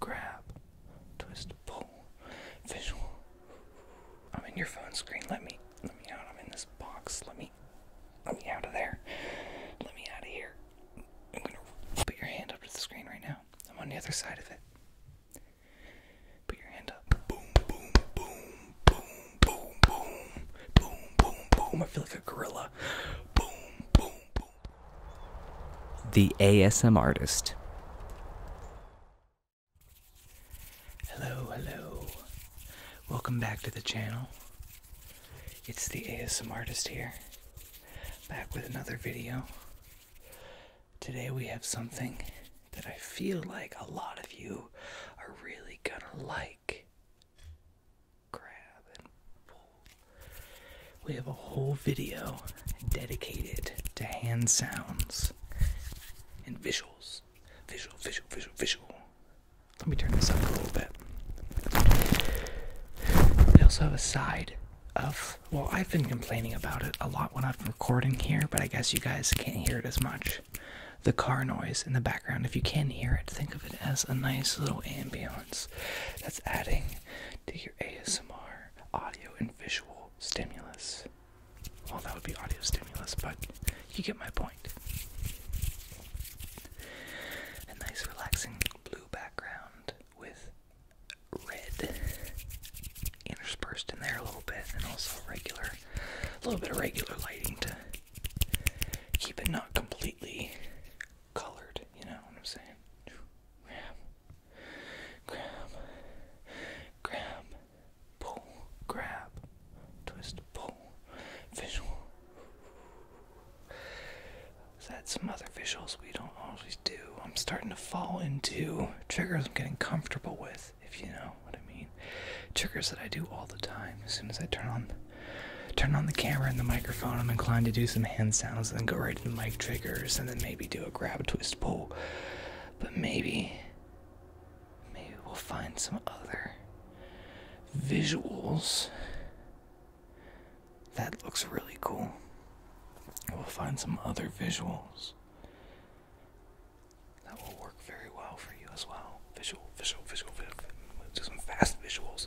grab, twist, pull, visual. I'm in your phone screen. Let me, let me out. I'm in this box. Let me, let me out of there. Let me out of here. I'm gonna put your hand up to the screen right now. I'm on the other side of it. Put your hand up. Boom, boom, boom, boom, boom, boom, boom, boom, boom. I feel like a gorilla. Boom, boom, boom. The ASM Artist. Hello, hello. Welcome back to the channel. It's the ASM Artist here, back with another video. Today we have something that I feel like a lot of you are really gonna like. Grab and pull we have a whole video dedicated to hand sounds and visuals. Visual, visual, visual, visual. Let me turn this up a little bit. We also have a side of, well, I've been complaining about it a lot when I'm recording here, but I guess you guys can't hear it as much. The car noise in the background, if you can hear it, think of it as a nice little ambience that's adding to your. ASMR audio and visual stimulus. Well, that would be audio stimulus, but you get my point. A nice, relaxing blue background with red interspersed in there a little bit, and also regular, a little bit of regular lighting to keep it not completely colored, you know what I'm saying? Grab, grab, grab, pull, grab, twist, pull, visual. So that's some other visuals we don't always do. I'm starting to fall into triggers I'm getting comfortable with, if you know what I mean. Triggers that I do all the time as soon as I turn on turn on the camera and the microphone. I'm inclined to do some hand sounds and then go right to the mic triggers and then maybe do a grab, twist, pull. But maybe, maybe we'll find some other visuals. That looks really cool. We'll find some other visuals that will work very well for you as well. Visual, visual, visual, visual. Do some fast visuals.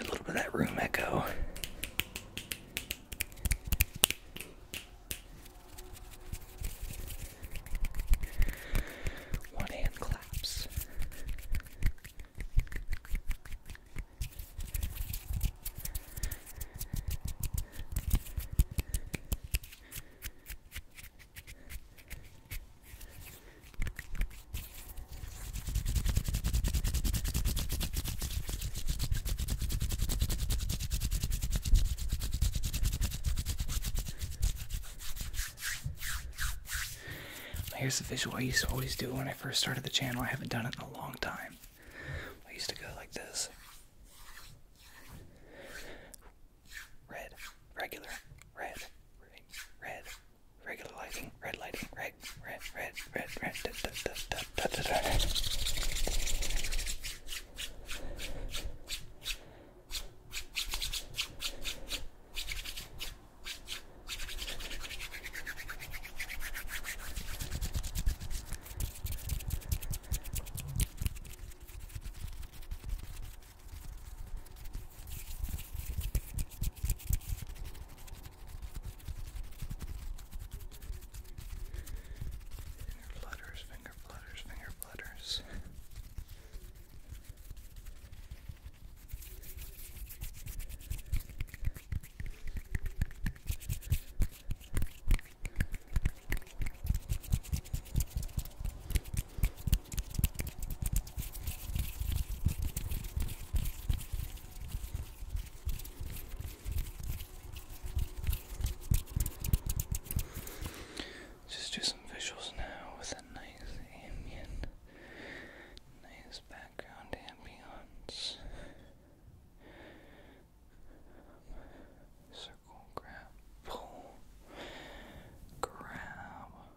a little bit of that room echo. One hand claps. Here's the visual I used to always do when I first started the channel. I haven't done it in a long time. I used to go like this red, regular, red, red, regular lighting, red lighting, red, red, red, red, red, da, da, da, da, da, da, da. Finger flutters, finger flutters, finger flutters. Just do some visuals now with a nice ambient, nice background ambience. Circle, grab, pull, grab.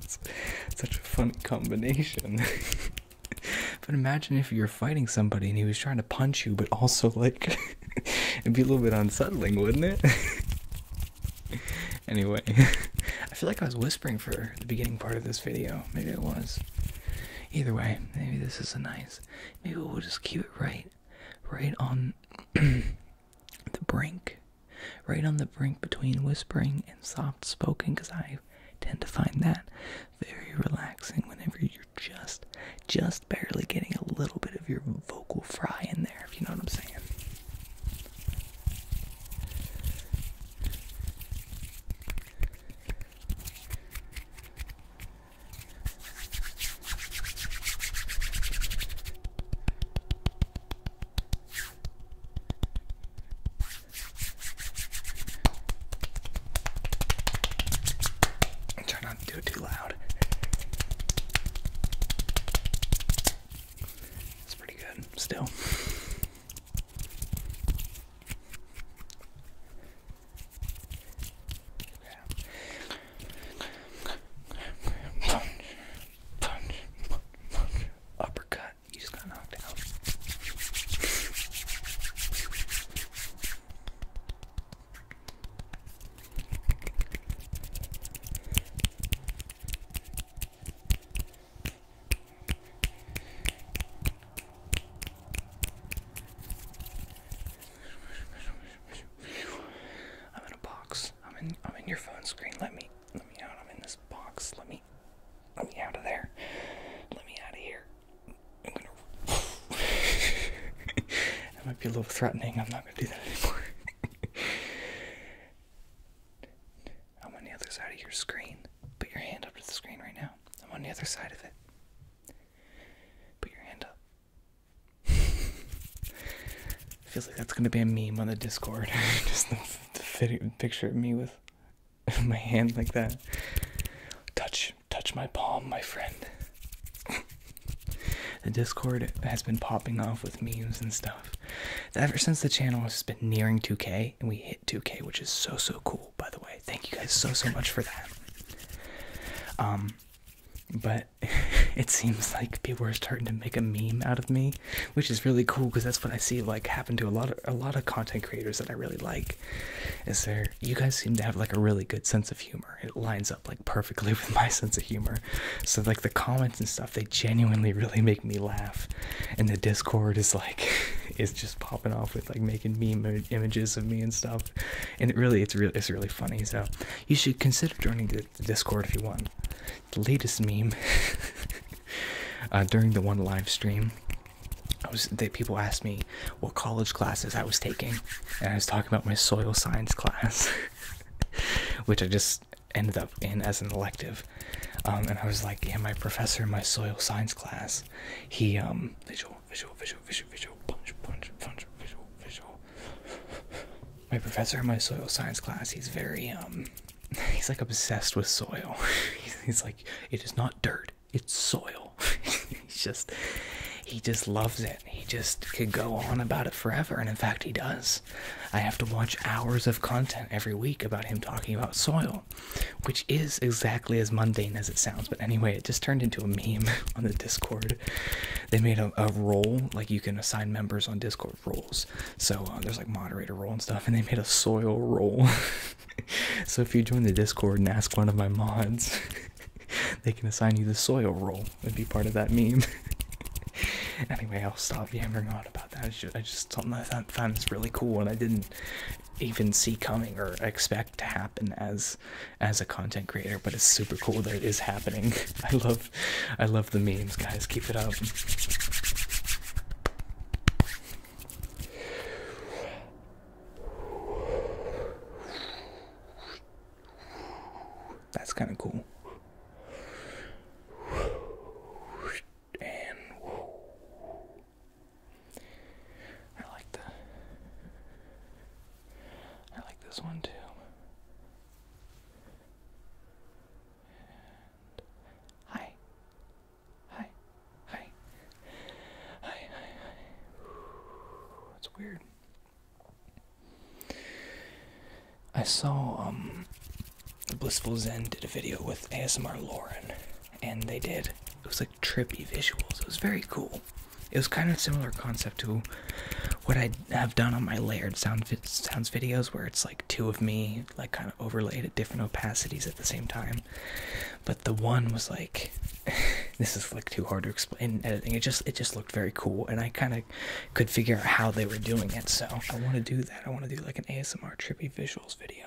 it's such a fun combination. but imagine if you were fighting somebody and he was trying to punch you, but also like it'd be a little bit unsettling, wouldn't it? anyway, I feel like I was whispering for the beginning part of this video. Maybe it was. Either way, maybe this is a nice. Maybe we'll just keep it right, right on the brink right on the brink between whispering and soft spoken because I tend to find that very relaxing whenever you're just just barely getting a little bit of your vocal fry in there if you know what I'm saying. Try not to do it too loud. It's pretty good still. Punch, punch, punch, uppercut that. You just got out. I'm in a box. I'm in I'm in your phone screen. Let me let me out. I'm in the box. Let me let me out of there. Let me out of here. I'm gonna That might be a little threatening, I'm not gonna do that anymore. I'm on the other side of your screen. Put your hand up to the screen right now. I'm on the other side of it. Put your hand up. Feels like that's gonna be a meme on the Discord. Just the, picture of me with my hand like that. Touch, touch my palm, my friend. the Discord has been popping off with memes and stuff. Ever since the channel has been nearing 2K, and we hit 2K, which is so so cool. By the way, thank you guys so so much for that. Um, but it seems like people are starting to make a meme out of me which is really cool because that's what I see like happen to a lot of a lot of content creators that I really like. Is there you guys seem to have like a really good sense of humor. It lines up like perfectly with my sense of humor. So like the comments and stuff, they genuinely really make me laugh. And the Discord is like is just popping off with like making meme images of me and stuff. And it really it's really it's really funny. So you should consider joining the the, Discord if you want. The latest meme uh, during the one live stream, I was that people asked me what college classes I was taking, and I was talking about my soil science class, which I just ended up in as an elective. Um, and I was like, yeah, my professor in my soil science class, he um visual, visual, visual, visual, visual, punch, punch, punch, visual, visual my professor in my soil science class he's very um, he's like obsessed with soil he's like it is not dirt it's soil He just he just loves it he just could go on about it forever and in fact he does i have to watch hours of content every week about him talking about soil which is exactly as mundane as it sounds but anyway it just turned into a meme on the discord they made a, role like you can assign members on discord so uh, there's like moderator role and stuff, and they made a soil role. so if you join the Discord and ask one of my mods, they can assign you the soil role and be part of that meme. anyway, I'll stop yammering on about that. It's just, I just thought that that's really cool, and I didn't even see coming or expect to happen as as a content creator, but it's super cool that it is happening. I love I love the memes, guys. Keep it up. That's kind of cool. I like the I like this one too hi. Hi. Hi. Hi, hi, hi. That's weird. I saw um Blissful Zen did a video with ASMR Lauren and they did. It was like trippy visuals. It was very cool. It was kind of similar concept to what I have done on my layered sound sounds videos where it's like two of me like kind of overlaid at different opacities at the same time but the one was like this is like too hard to explain in editing it just it just looked very cool and i kind of could figure out how they were doing it so i want to do that i want to do like an asmr trippy visuals video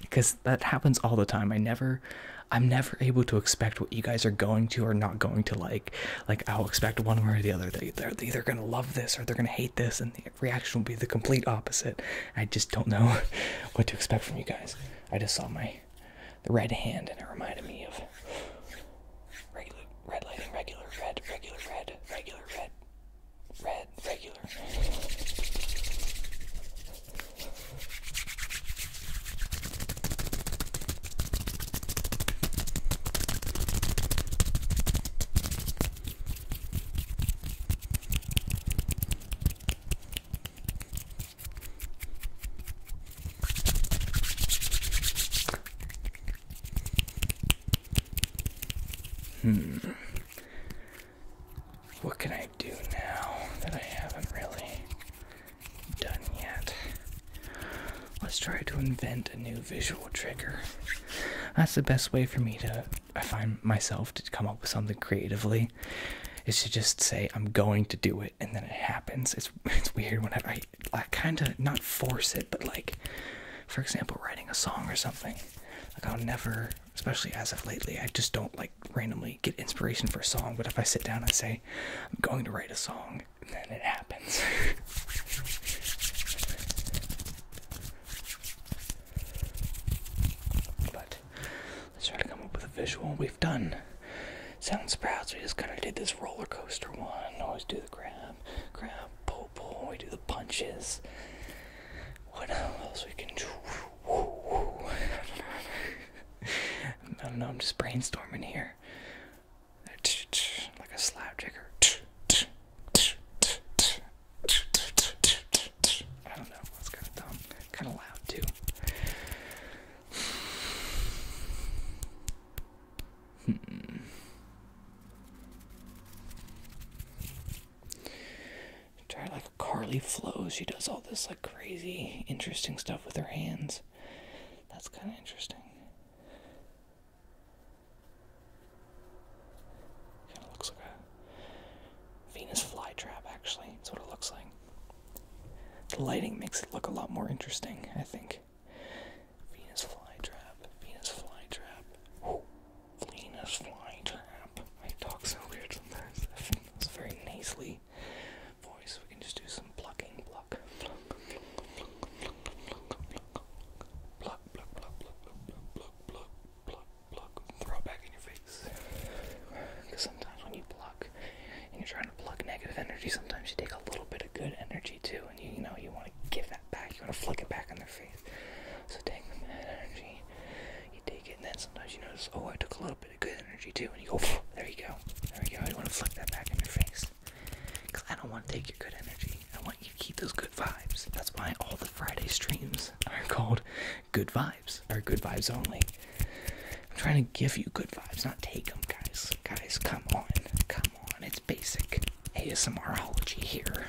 because that happens all the time. I never, I'm never able to expect what you guys are going to or not going to like. Like I'll expect one way or the other. They, are either gonna love this or they're gonna hate this, and the reaction will be the complete opposite. I just don't know what to expect from you guys. I just saw my the red hand, and it reminded me of regular red lighting, regular red, regular red, regular red, red regular. Hmm. What can I do now that I haven't really done yet? Let's try to invent a new visual trigger. That's the best way for me to I find myself to come up with something creatively is to just say I'm going to do it and then it happens. It's it's weird when I I kind of not force it, but like for example, writing a song or something. Like, I'll never, especially as of lately, I just don't like randomly get inspiration for a song. But if I sit down and say, I'm going to write a song, then it happens. but let's try to come up with a visual. We've done sound sprouts. We just kind of did this roller coaster one. Always do the grab, grab, pull, pull. We do the punches. What else we can do? I don't know. I'm just brainstorming here. Like a slap jigger. I don't know. That's kind of dumb. Kind of loud too. Hmm. Try like Carly Flow. She does all this like crazy, interesting stuff with her hands. That's kind of interesting. Kind of looks like a Venus flytrap, actually. That's what it looks like. The lighting makes it look a lot more interesting, I think. Venus flytrap, Venus flytrap, oh, Venus flytrap. I talk so weird sometimes. It's very nasally voice. We can just do some plucking, pluck, pluck, pluck, pluck, pluck, pluck, pluck, pluck, pluck, pluck, pluck, pluck, throw it back in your face. Because sometimes when you pluck and you're trying to pluck negative energy, sometimes you take a little bit of good energy too, and you, you know you want to give that back. You want to flick it back in their so take the bad energy, you take it, and then sometimes you notice, oh, I took a little bit of good energy too, and you go, there you go, there you go. You want to flick that back in your face. Because I don't want to take your good energy. I want you to keep those good vibes. That's why all the Friday streams are called Good Vibes, or Good Vibes Only. I'm trying to give you good vibes, not take them, guys. Guys, come on. Come on. It's basic. ASMRology here.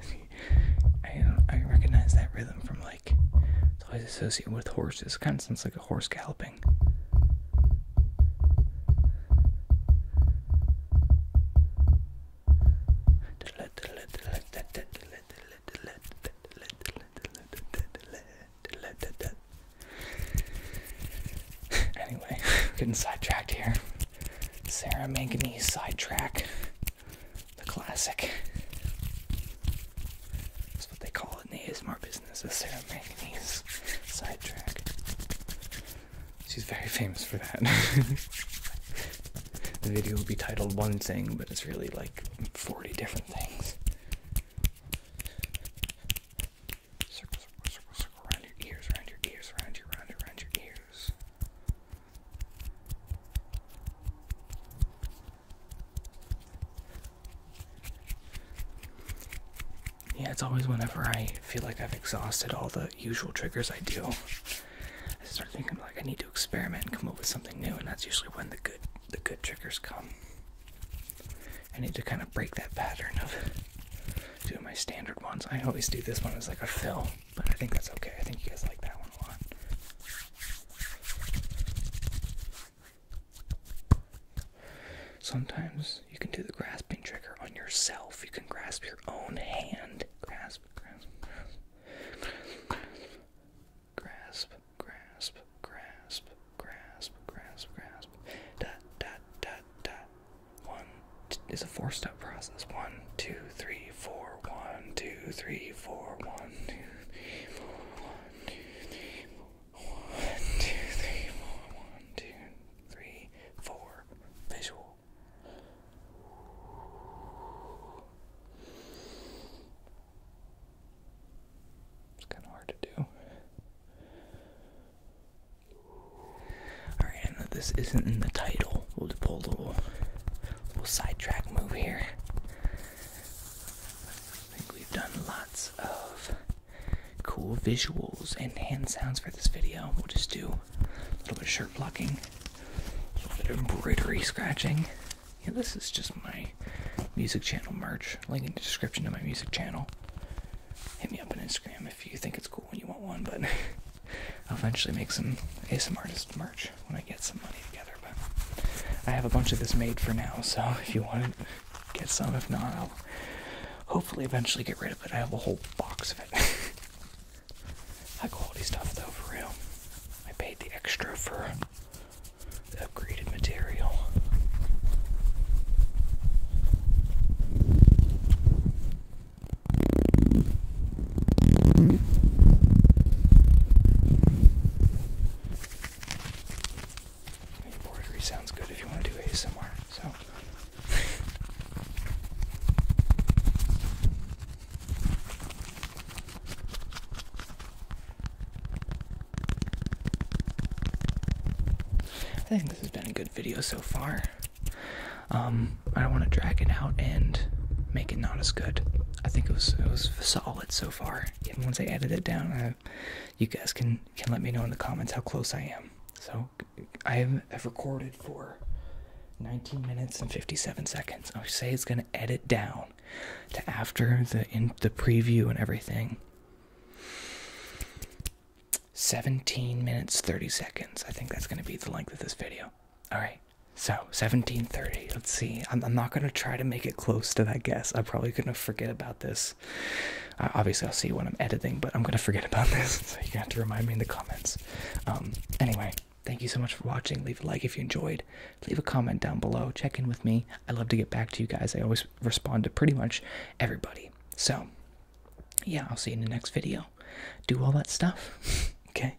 See, I, I recognize that rhythm from like it's always associated with horses. It kind of sounds like a horse galloping. Anyway, getting sidetracked here. Sarah Manganese sidetrack. The classic. That's what they call it in the ASMR business, The Sarah Manganese sidetrack. She's very famous for that. the video will be titled one thing, but it's really like 40 different things. Circle, circle, circle, circle, around your ears, around your ears, around your, around your, around your ears yeah, it's always whenever I feel like I've exhausted all the usual triggers I do. I start thinking like I need to experiment and come up with something new, and that's usually when the good the good triggers come. I need to kind of break that pattern of doing my standard ones. I always do this one as like a fill, but I think that's okay. I think you guys like that one a lot. Sometimes you can do the grasping trigger on yourself. You can grasp your own hand. Grasp, grasp, grasp, grasp, grasp, grasp, grasp, grasp, grasp. Dot, dot, dot, dot. One is a four step process. One, two, three, four. One, two, three, four. One, two, three, four. One, two, three, four. One, two, three, four. One, two, three, four. Visual. It's kind of hard to do. Alright, I this isn't in the title. We'll just pull little, little sidetrack move here. I think we've done lots of cool visuals and hand sounds for this video. We'll just do a little bit of shirt blocking, a little bit of embroidery scratching. Yeah, this is just my music channel merch. Link in the description to my music channel. Hit me up on Instagram if you think it's cool and you want one, but I'll eventually make some ASMR artist merch when I get some money together. But I have a bunch of this made for now, so if you want it, get some. If not, I'll hopefully eventually get rid of it. I have a whole box of it. High quality stuff, though, for real. I paid the extra for the upgraded material. Embroidery sounds good if you want to do ASMR. So. I think this has been a good video so far. Um, I don't want to drag it out and make it not as good. I think it was it was solid so far. Even once I edited it down, you guys can can let me know in the comments how close I am. So I have, recorded for 19 minutes and 57 seconds. I say it's gonna edit down to after the in the preview and everything. 17 minutes 30 seconds. I think that's gonna be the length of this video. All right. So 1730. Let's see. I'm, I'm not gonna try to make it close to that guess. i probably gonna forget about this uh, obviously, I'll see you when I'm editing, but I'm gonna forget about this, so you're gonna have to remind me in the comments. Um, anyway, thank you so much for watching. Leave a like if you enjoyed. Leave a comment down below. Check in with me. I love to get back to you guys. I always respond to pretty much everybody. So, yeah, I'll see you in the next video. Do all that stuff. okay,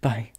bye.